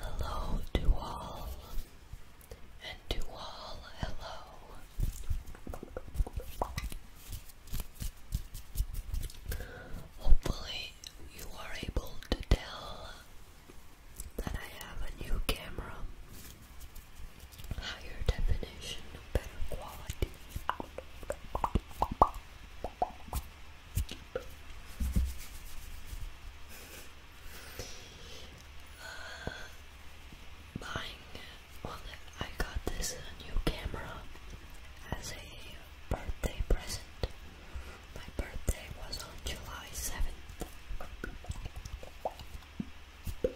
Hello to all, and to all, hello. Hopefully, you are able to tell that I have a new camera, higher definition, better quality. Uh, buying, well, I got this new camera as a birthday present my birthday was on July 7th. And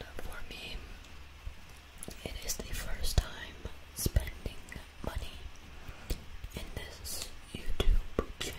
uh, for me, it is the first time spending money in this YouTube channel.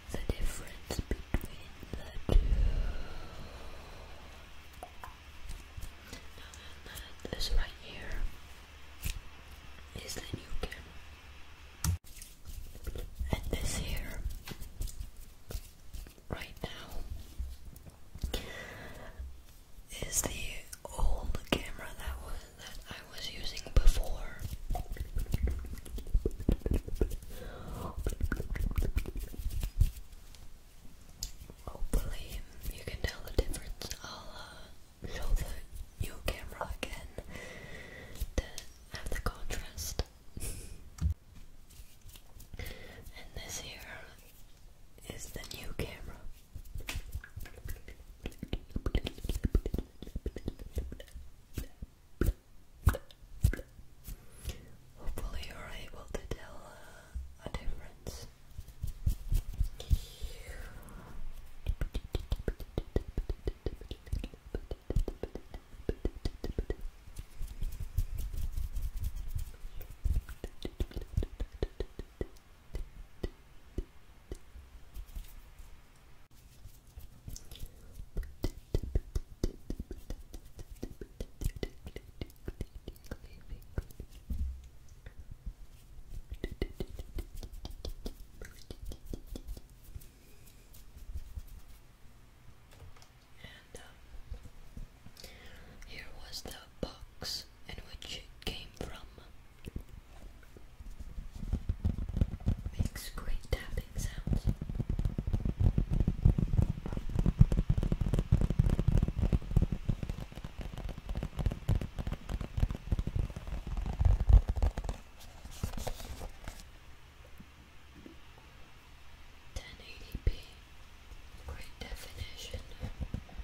the difference between the two. Now, this right here is the new cam, and this here, right now, is the old camera that was that I was using before. Hopefully, you can tell the difference. I'll uh, show the new camera again to have the contrast. and this here is the new camera. Hopefully, you're able to tell uh, a difference. And um, here was the box in which it came from. Makes great tapping sounds. Ten eighty p, great definition.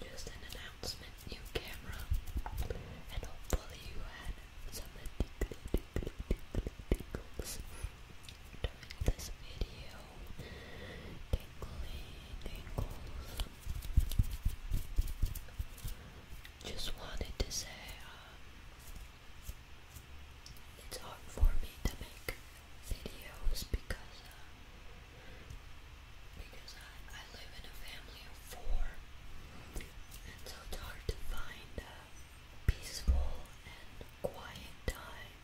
just an announcement, new camera, and hopefully you had some tickly, tickly, during this video. Tickly tingles. Just wanted to say, um, it's hard for me to make videos because uh, because I, I live in a family of four, and so it's hard to find a peaceful and quiet time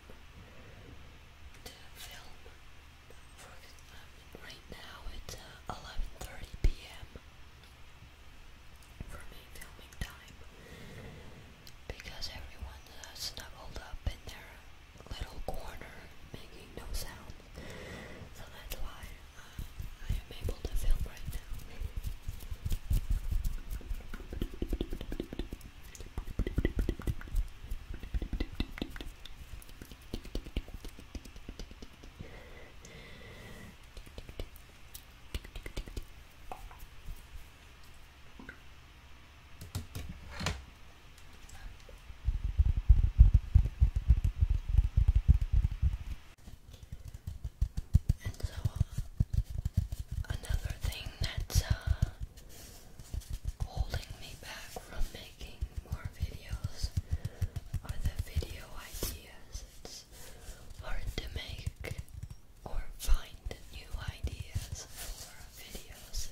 to film. right now it's 11:30 uh, p.m. for me filming time because everyone's uh, snuggled up in their little corner making no sound. So that's why uh, I am able to film right now. And so, another thing that's uh, holding me back from making more videos are the video ideas. It's hard to make or find new ideas for videos.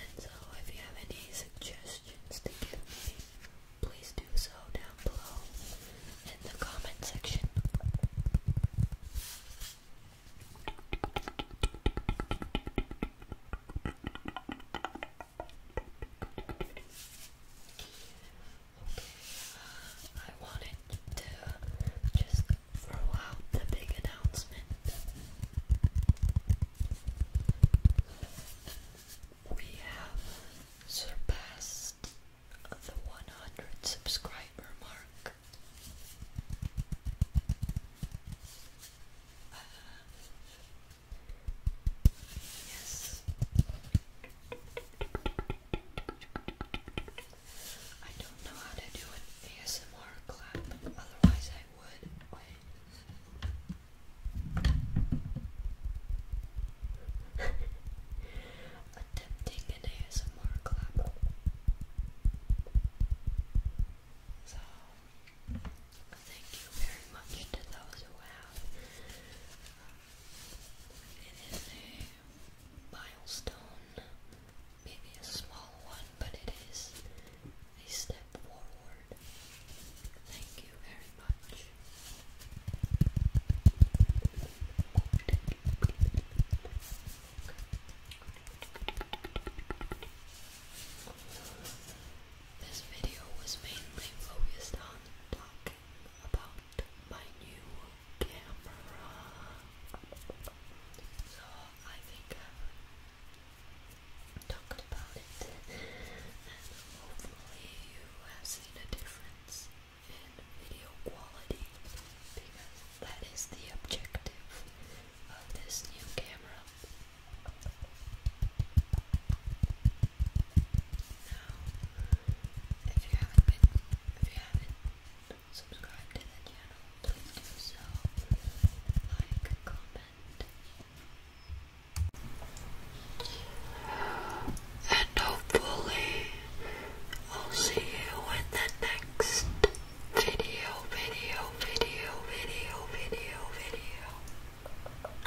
And so, if you have any suggestions to give me, please do so down below in the comment section. Uh, I wanted to just for a the big announcement. We have surpassed the 100 subscriber mark. Uh, yes. I don't know how to do an ASMR clap, otherwise I would. Attempting an ASMR clap. So, thank you very much to those who have. It is milestone. Maybe a small one, but it is a step forward. Thank you very much. This video was mainly focused on talking about my new so I think I've talked about it, and hopefully you have seen a difference in video quality because that is the objective of this new camera. So, if you haven't been, if you haven't subscribed to the channel, please do so. Like, comment, and hopefully, I'll see you in the next video, video, video, video, video, video.